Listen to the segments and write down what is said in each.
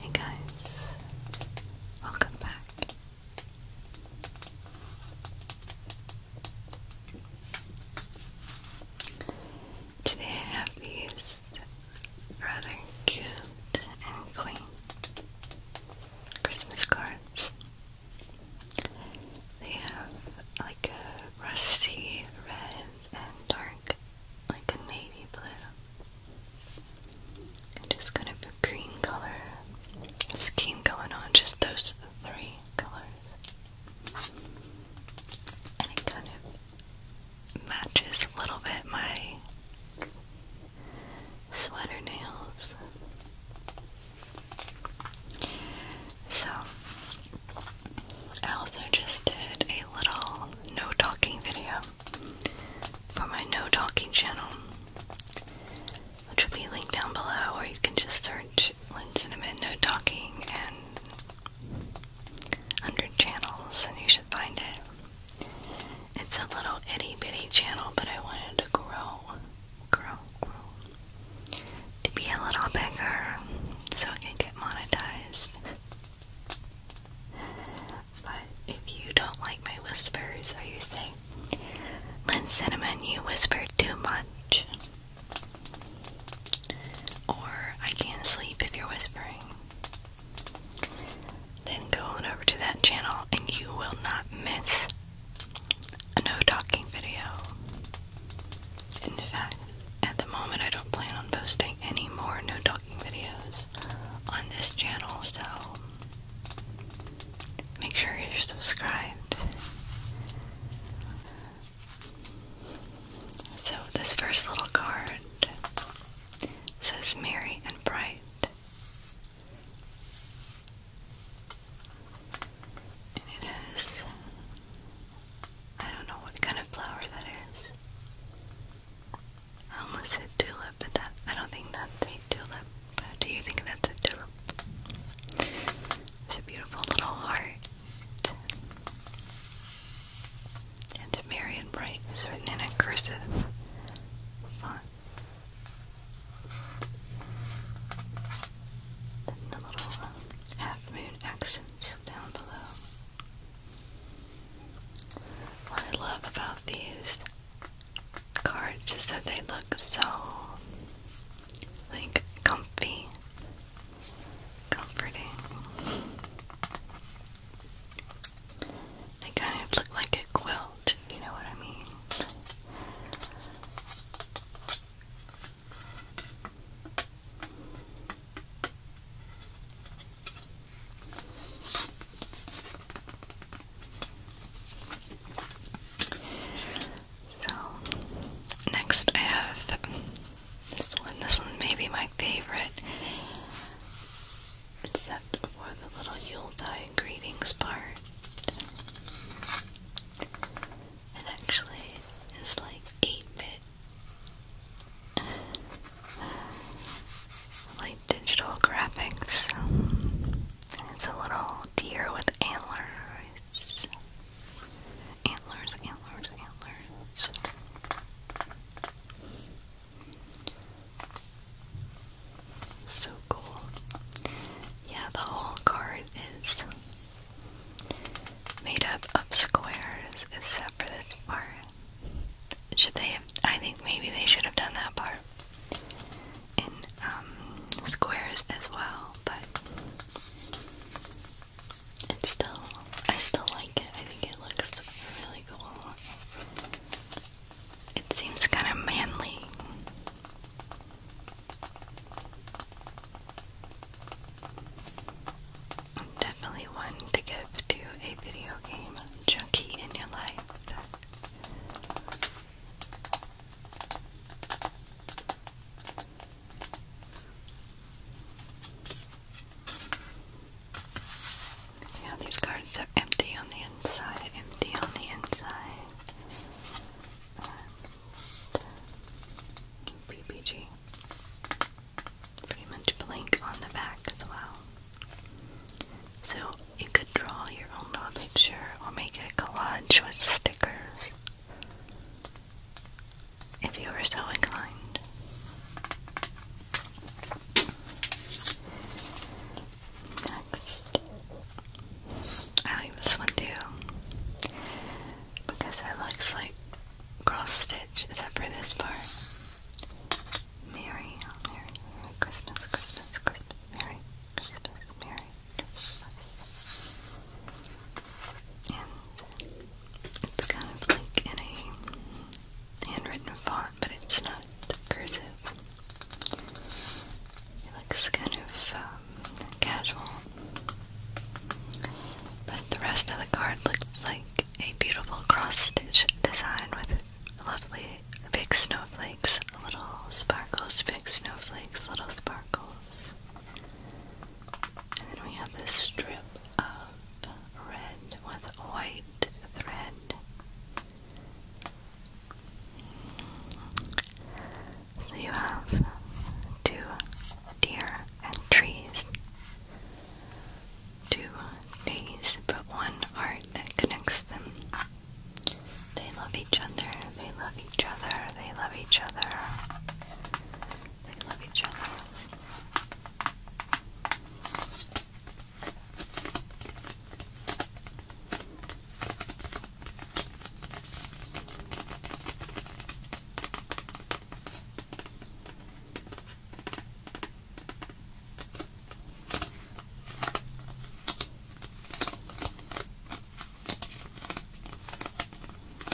Hey guys, welcome back. Today I have these rather cute and quaint Christmas cards. They have like a rusty red and dark, like a navy blue. And just kind of a green color scheme going on, just those three colors. And kind of matches a little bit my sweater nails. So, I also just did a little no talking video for my no talking channel, which will be linked down below, or you can just search Lynn Cinnamon No Talking and under channels and you should find it. It's a little itty bitty channel, but I wanted to grow, grow, grow, to be a little bigger so I can get monetized. But if you don't like my whispers, or you say, Lynn Cinnamon, you whisper too much, or I can't sleep if you're whispering, then go over to that channel and you will not miss a no talking video. In fact, at the moment I don't plan on posting any more no talking videos on this channel, so make sure you're subscribed. So, this first little card says merry and bright. And it I don't know what kind of flower that is. I almost said tulip, but that, I don't think that's a tulip. But do you think that's a tulip? It's a beautiful little heart and to Mary and Bright is written in a cursive font. Then the little uh, half moon accents down below. What I love about these cards is that they look so like comfy, comforting. They kind of look like a quilt, you know what I mean? So, next I have this one. This one may my my favorite. Except for the little Yuletide greetings part. It actually is like 8 bit. Like digital graphics. It's a little deer with antlers. Antlers, antlers, antlers. So cool. Yeah, the whole card is made up of squares except for this part. Should they have? I think maybe they should have done that part in um, squares as well, but it's still, I still like it. I think it looks really cool. It seems kind of manly. definitely one to give to a video game junkie in your life. Yeah, these cards are empty on the inside, empty on the inside. PPG. Pretty much blank on the back as well. So you could draw your own picture or make a collage with stickers if you were so inclined. Next. I like this one too. Because it looks like cross stitch, except for this part. Merry, Merry, Merry Christmas, Christmas, Christmas, Merry Christmas, Merry Christmas it's kind of like in a handwritten font, but it's not cursive. It looks kind of um, casual, but the rest of the card looks like a beautiful cross-stitch design with lovely big snowflakes, little sparkles, big snowflakes, little sparkles. And then we have this strip of red with white thread. So you have two deer and trees. Two trees, but one art that connects them. They love each other, they love each other, they love each other. They love each other.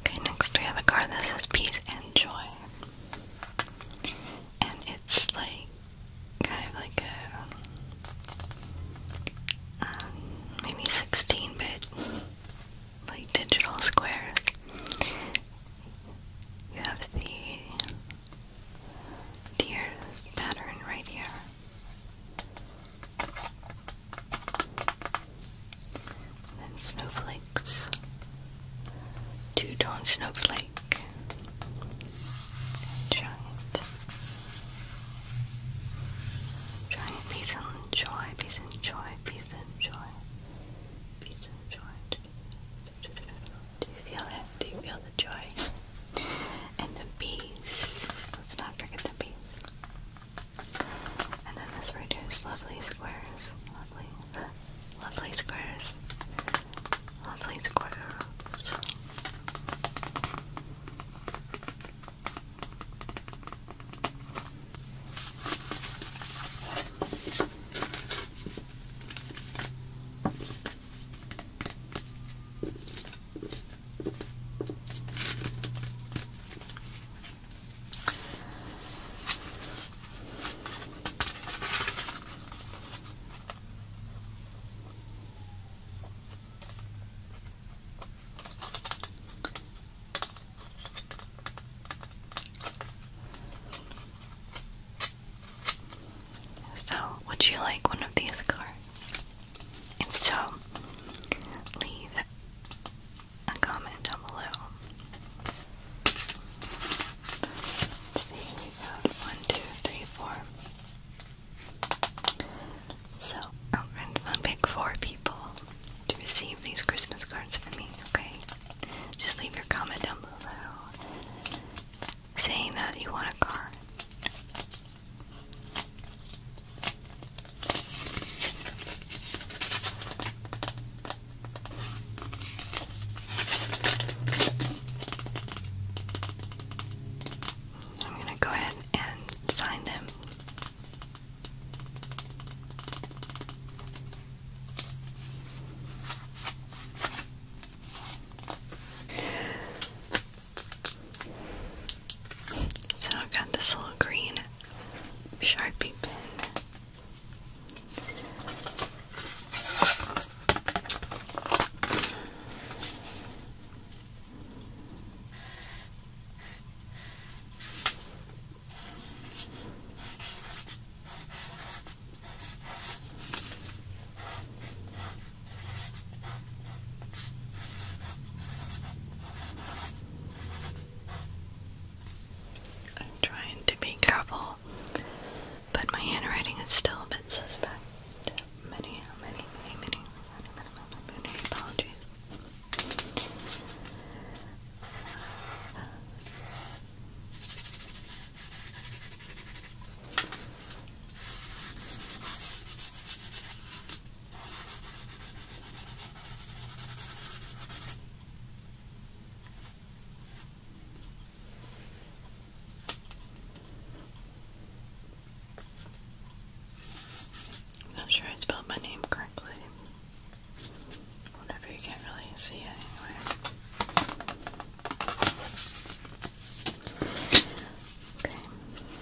Okay, next we have a card that says Peace and Joy. And it's like kind of like a um, maybe 16 bit like digital squares. You have the deer pattern right here. And then snowflakes. Two tone snowflake. And giant. Giant peace and joy, peace and joy, peace and joy. Peace and joy. Do you feel it? Do you feel the joy? And the peace. Let's not forget the peace. And then this reduced lovely squares. Lovely. Lovely squares. Lovely squares. So, would you like one of these cards? so, leave a comment down below. Uh, one, two, three, four. So, I'm going to pick four people to receive these Christmas cards from me, okay? Just leave your comment down below saying that you want a card. I'm going to go ahead and sign them. So I've got this little green Sharpie pen. I'm trying to be careful, but my handwriting is still a bit suspect. many, many, many, many, many, many apologies. I'm not sure I spelled my name correctly. Whatever, you can't really see it anyway. Okay.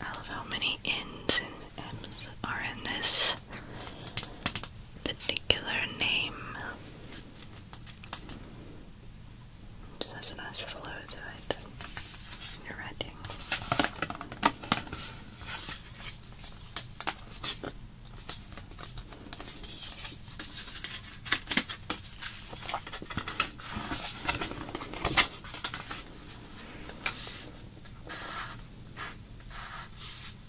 I love how many N's and M's are in this particular name. just has a nice flow to it writing.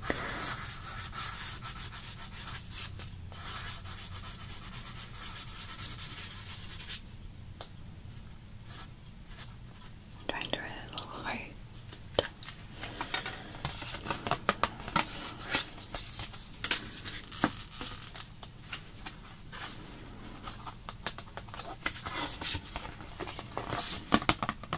I'm trying to write a little heart.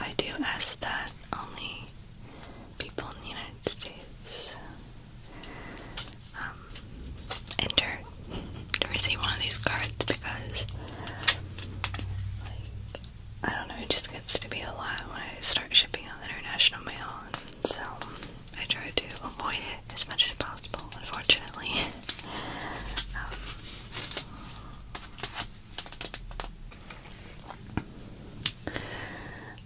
I do ask that only people in the United States um, enter to receive one of these cards because, I don't know, it just gets to be a lot when I start shipping out international mail, so I try to avoid it as much as possible, unfortunately. Um,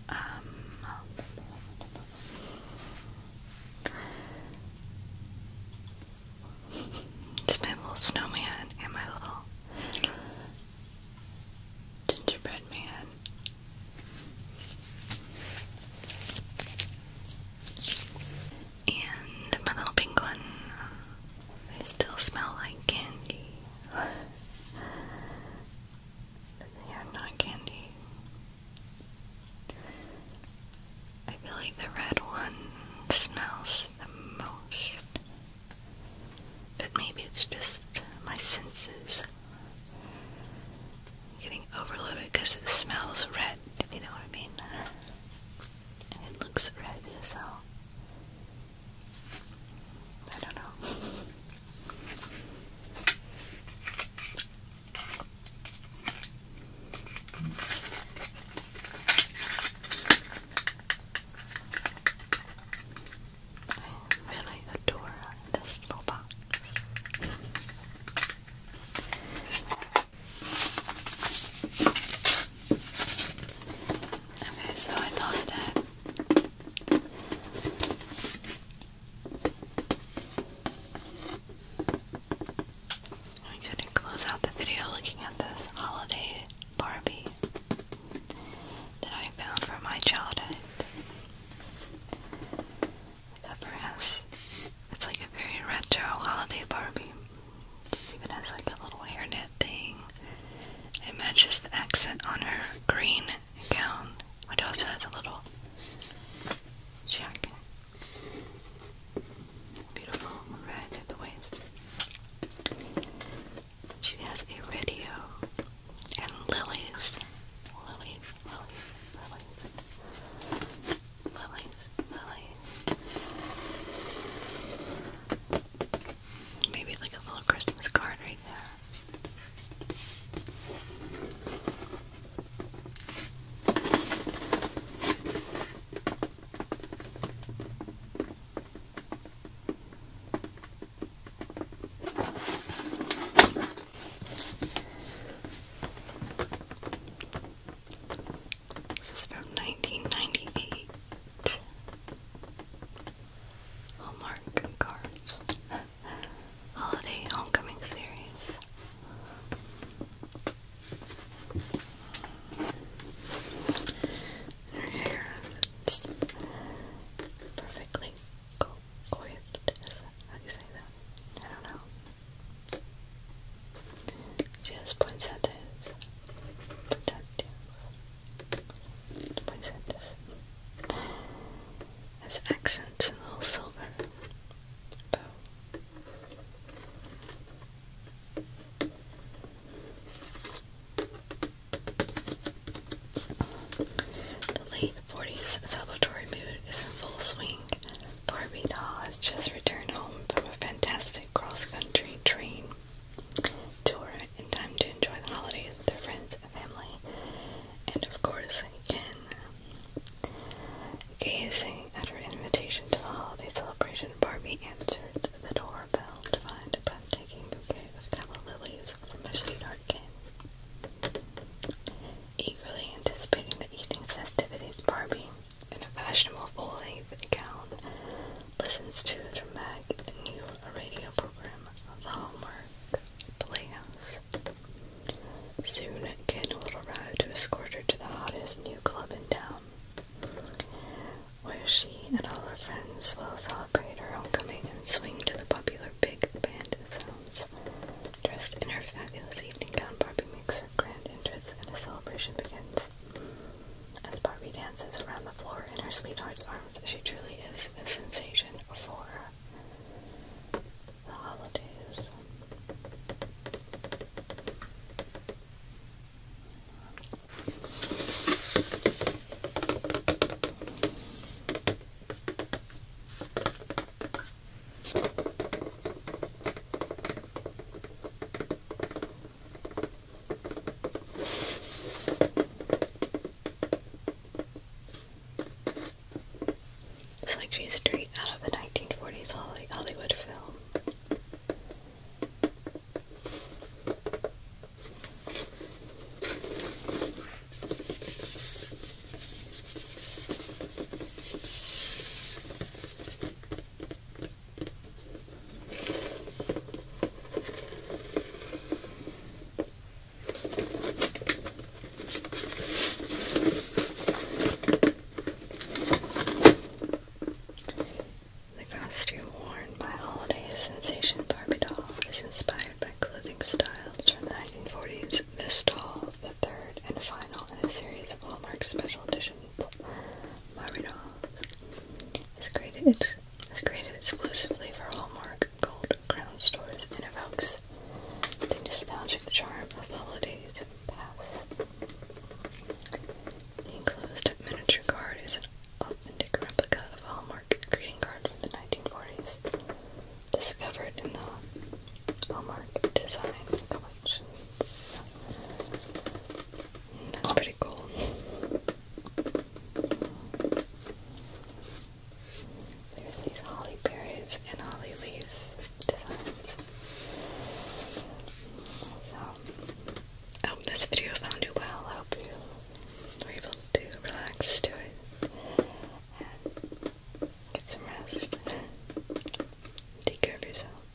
um, it's my little snowman and my little gingerbread man. And my little penguin. They still smell like candy. they are not candy. I feel like the red one smells the most. But maybe it's just my senses getting overloaded because it smells red, if you know what I mean and it looks red as so I don't know. I really adore this little box. Okay, so I thought that I'm going to close out the video looking at this holiday Barbie that I found from my childhood. The it's like a very retro holiday Barbie. even has like a little hairnet thing. It matches the accent on her green gown, which also has a little jacket. Beautiful rag at the waist. She has a radio and lilies. Lilies, lilies, lilies lilies, lilies. Maybe like a little Christmas card right there. This is from 1998. Hallmark Cards Holiday Homecoming Series. Her hair is perfectly coiled. How you say that? I don't know. Just poinsettias. Poinsettias. Poinsettias. As accents in all silver. The late 40s Salvatore mood is in full swing. Barbie doll has just returned home from a fantastic cross-country train tour in time to enjoy the holidays with her friends and family, and of course, Ken. Gazing at her invitation to the holiday celebration, Barbie answered the doorbell to find a breathtaking bouquet of calla lilies from her sweetheart, Ken. Eagerly anticipating the evening's festivities, Barbie in a fashionable full-length gown, listens to a dramatic new radio program, The Hallmark Playhouse. Soon, Ken will arrive to escort her to the hottest new club in town, where she and all her friends will celebrate her homecoming and swing to the popular big band sounds. Dressed in her fabulous evening gown, Barbie makes her grand entrance and the celebration begins. As Barbie dances around the floor in her sweetheart's arms, she truly is a sensation for the holidays. It's like she's straight out of a 1940s Hollywood film. The costume worn by holiday sensation Barbie doll is inspired by clothing styles from the 1940s this doll, the third and final in a series of Hallmark special editions. Maridol is created, it's, created exclusively for Hallmark Gold Crown stores and evokes the nostalgic charm of holidays past. The enclosed miniature card is an authentic replica of a Hallmark greeting card from the 1940s discovered in the Hallmark Design Collection. That's pretty cool. There's these holly berries and holly leaf designs. So, I hope this video found you well. I hope you were able to relax to it. Get some rest. Take care of yourself.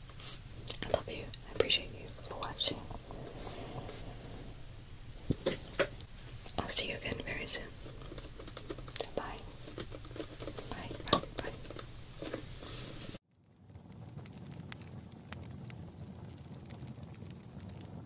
I love you. I appreciate you for watching. I'll see you again very soon. Bye. Bye. Bye. Bye.